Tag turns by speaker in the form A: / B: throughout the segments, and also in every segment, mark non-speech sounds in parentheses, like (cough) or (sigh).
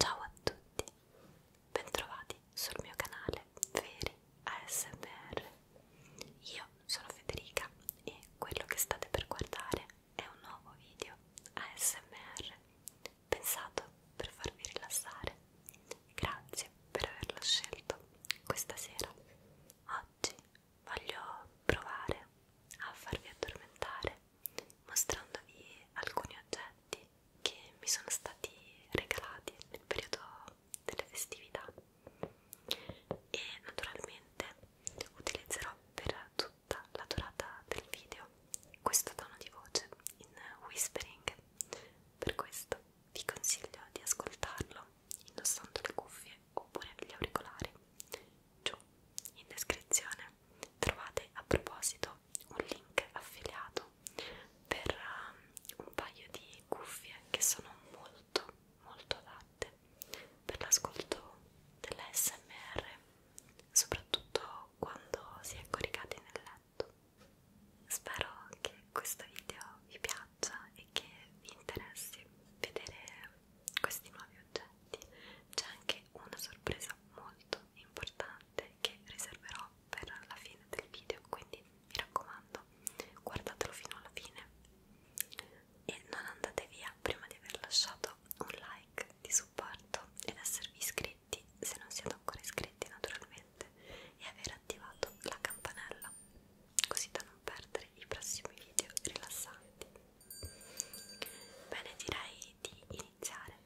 A: Ciao a tutti, bentrovati sul mio canale Veri ASMR. Io sono Federica e quello che state per guardare è un nuovo video ASMR pensato per farvi rilassare. Grazie per averlo scelto questa sera. Oggi voglio provare a farvi addormentare mostrandovi alcuni oggetti che mi sono stati regalati nel periodo delle festività e naturalmente utilizzerò per tutta la durata del video questo tono di voce in whispering per questo vi consiglio di ascoltarlo indossando le cuffie oppure gli auricolari giù in descrizione trovate a proposito un link affiliato per um, un paio di cuffie che sono molto molto adatte per l'ascolto dell'ASMR soprattutto quando si è coricati nel letto. Spero che questo video vi piaccia e che vi interessi vedere questi nuovi oggetti. C'è anche una sorpresa molto importante che riserverò per la fine del video, quindi mi raccomando, guardatelo fino alla fine e non andate via prima di aver lasciato un like di supporto ed esservi iscritti se non siete ancora iscritti naturalmente e aver attivato la campanella così da non perdere i prossimi video rilassanti bene direi di iniziare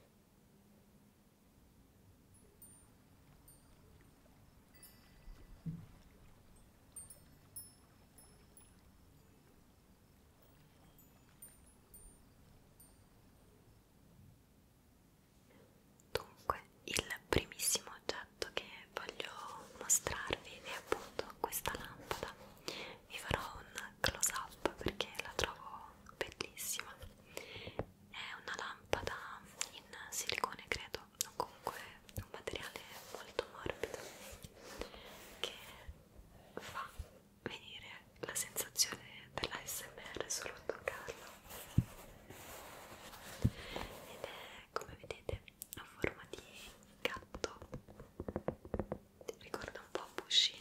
A: Dunque, il primissimo oggetto che voglio mostrarvi è appunto questa lampada. Vi farò un close up perché la trovo bellissima. È una lampada in silicone, credo, o comunque un materiale molto morbido che fa venire la sensazione dell'ASMR solo a toccarlo ed è come vedete a forma di gatto ricorda un po' Pushin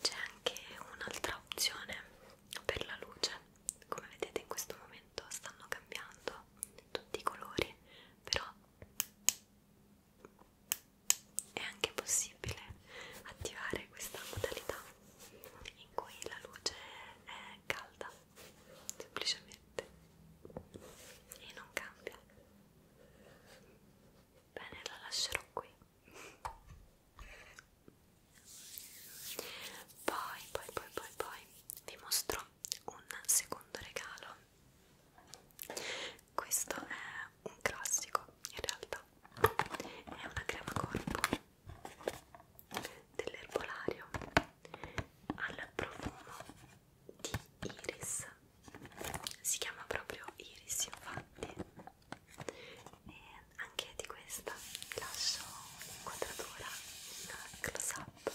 A: C'è anche un'altra opzione per la luce, come vedete in questo momento stanno cambiando tutti i colori, però è anche possibile attivare questa modalità in cui la luce è calda semplicemente e non cambia bene la lascerò qui poi poi poi poi poi vi mostro un secondo regalo questo è un classico in realtà è una crema corpo dell'erbolario al profumo di iris si chiama proprio iris infatti e anche di questa vi lascio l'inquadratura in close up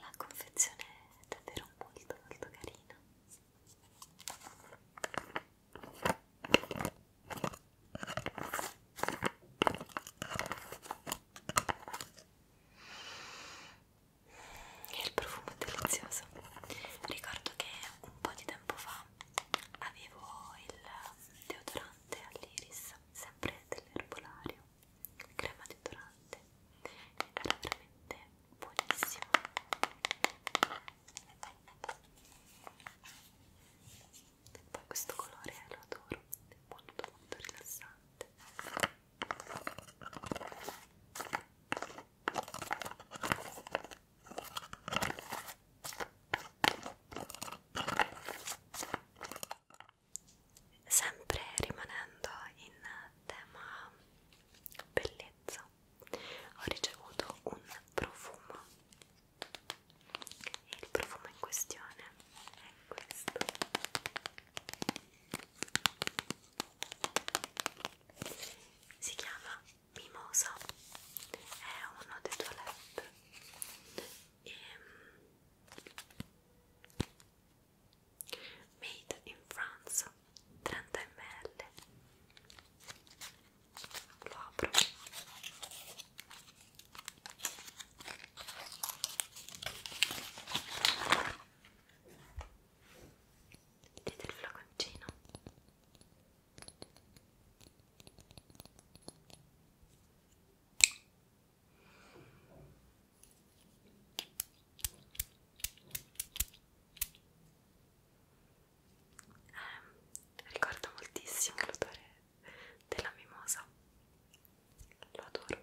A: la confezione è davvero molto molto carina il profumo è delizioso ricordo che un po' di tempo fa avevo il deodorante all'iris sempre dell'erbolario crema deodorante era veramente buonissima poi questo colore lo adoro è molto molto rilassante sempre rimanendo in tema bellezza ho ricevuto un profumo e il profumo in questione è questo si chiama Mimosa è uno dei tuoi lab e ehm, Made in France 30 ml lo apro vedete il flaconcino eh, ricordo moltissimo l'odore della mimosa, lo adoro.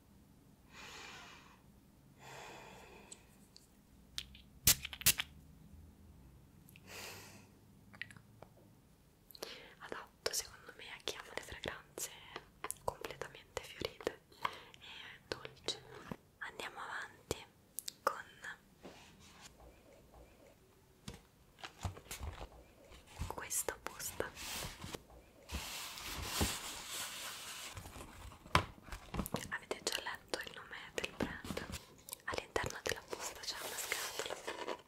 A: adatto secondo me a chi ama le fragranze completamente fiorite e dolci andiamo avanti con questa posta Avete già letto il nome del brand? All'interno della busta c'è una scatola deliziosa.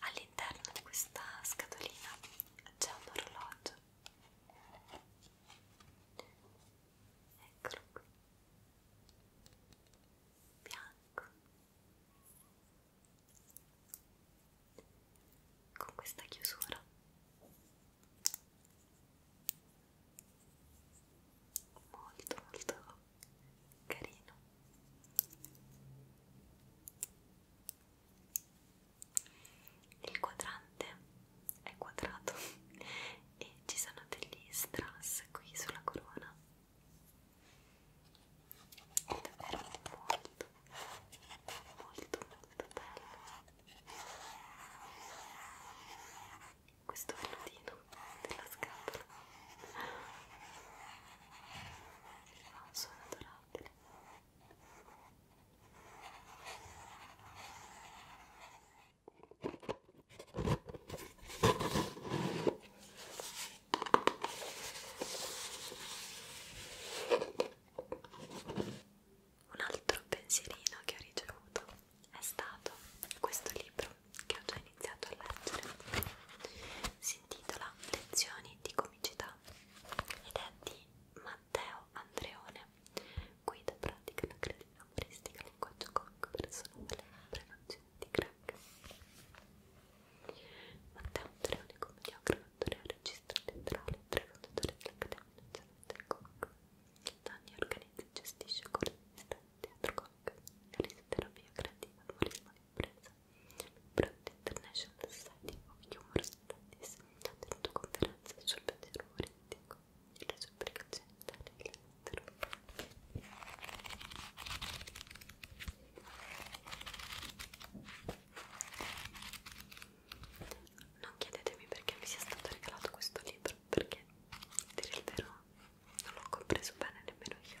A: All'interno di questa scatolina c'è un orologio eccolo qui bianco con questa chiusura molto molto carino il quadrante è quadrato (laughs) e ci sono degli strass qui sulla corona è davvero molto molto molto bello questo vellutino della scatola ha un suono adorabile un altro pensierino che ho ricevuto è stato questo libro che ho già iniziato a leggere. Si intitola Lezioni di comicità ed è di Matteo Andreone guida pratica la creatività umoristica, linguaggio comico, personale, prevenzione di crack Matteo Andreone, commediografo, attore, regista teatrale, tre fondatori dell'Accademia Nazionale del Comico da anni organizza e gestisce corsi di teatro comico, risoterapia creativa, umorismo di impresa Broad International Society of Humor Studies ha tenuto conferenze sul pensiero politico e le sue applicazioni italiane all'estero. Non chiedetemi perché mi sia stato regalato questo libro, perché, a dire il vero, non l'ho compreso bene nemmeno io.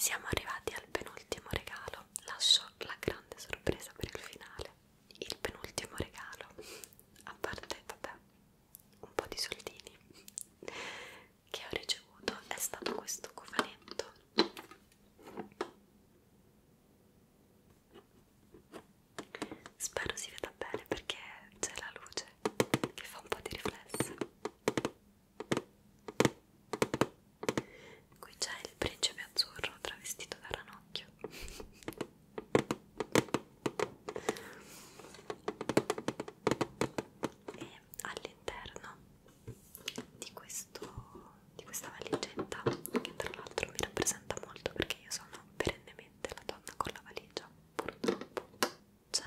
A: Siamo arrivati al penultimo regalo, lascio la grande sorpresa per il finale. Il penultimo regalo, a parte, vabbè, un po' di soldini che ho ricevuto è stato questo cofanetto spero si veda bene perché c'è la luce che fa un po' di riflesso qui c'è il principe azzurro travestito da ranocchio e all'interno di, di questa valigetta che tra l'altro mi rappresenta molto perché io sono perennemente la donna con la valigia purtroppo c'è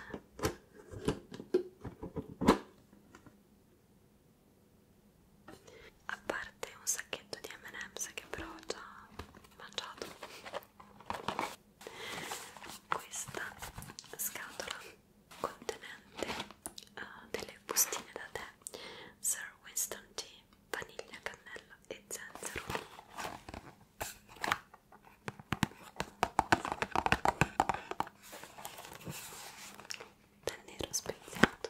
A: a parte un sacchetto di M&M's che però ho già mangiato questa scatola contenente uh, delle bustine da tè Sir Winston G, vaniglia, cannella e zenzero del nero speziato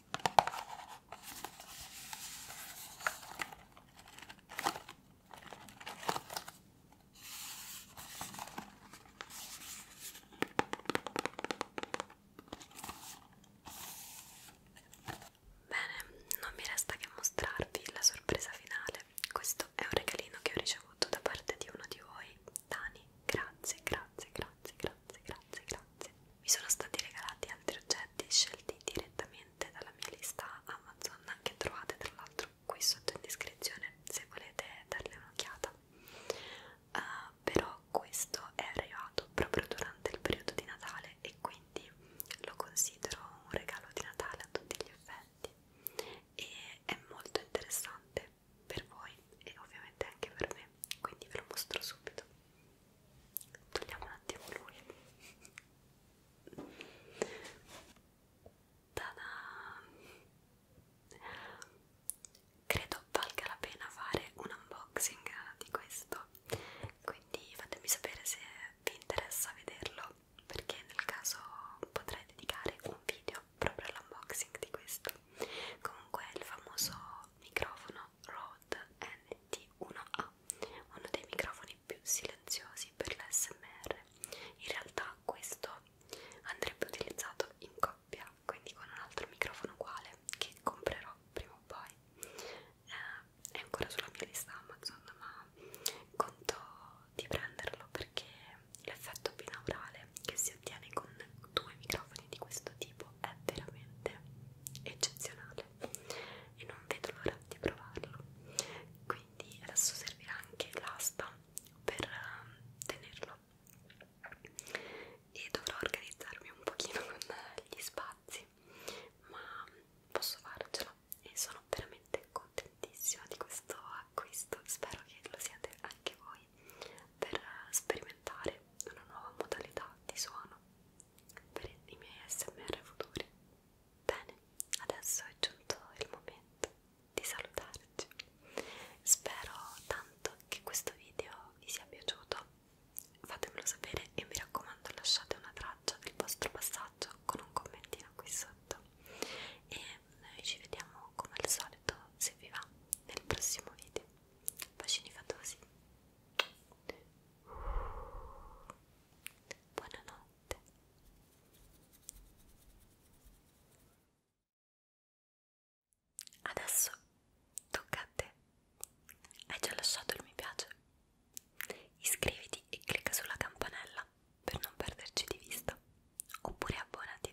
A: Bene, non mi resta che mostrarvi la sorpresa finale. Questo è un regalino che ho ricevuto da parte di uno di voi. Dani, grazie, grazie, grazie, grazie, grazie, grazie. Mi sono stati regalati altri oggetti scelti direttamente dalla mia lista Amazon che trovate tra l'altro qui sotto in descrizione se volete darle un'occhiata. Uh, però questo è arrivato proprio durante il periodo di Natale e quindi lo considero un regalo di Natale a tutti gli effetti e è molto interessante per voi e ovviamente anche per me, quindi ve lo mostro subito togliamo un attimo lui Tada! credo valga la pena fare un unboxing di questo quindi fatemi sapere se vi interessa vederlo perché nel caso potrei dedicare un video proprio all'unboxing di questo comunque il famoso microfono Rode NT1A, uno dei microfoni più silenziosi per l'SMR. In realtà questo andrebbe utilizzato in coppia, quindi con un altro microfono uguale che comprerò prima o poi. Eh, è ancora sulla mia lista Amazon, ma conto di prenderlo perché l'effetto binaurale che si ottiene con due microfoni di questo tipo corpo è veramente eccezionale e non vedo l'ora di provarlo quindi adesso servirà anche l'asta per ehm, tenerlo e dovrò organizzarmi un pochino con eh, gli spazi ma posso farcela e sono veramente contentissima di questo acquisto spero che lo siate anche voi per eh, sperimentare una nuova modalità di suono per i miei smr futuri. Bene, adesso è giunto il momento di salutarci. Spero tanto che questo video vi sia piaciuto. Fatemelo sapere e mi raccomando lasciate una traccia del vostro passaggio con un commentino qui sotto. E noi ci vediamo come al solito, se vi va, nel prossimo video bacini fatosi buonanotte adesso tocca a te hai già lasciato il mi piace iscriviti e clicca sulla campanella per non perderci di vista oppure abbonati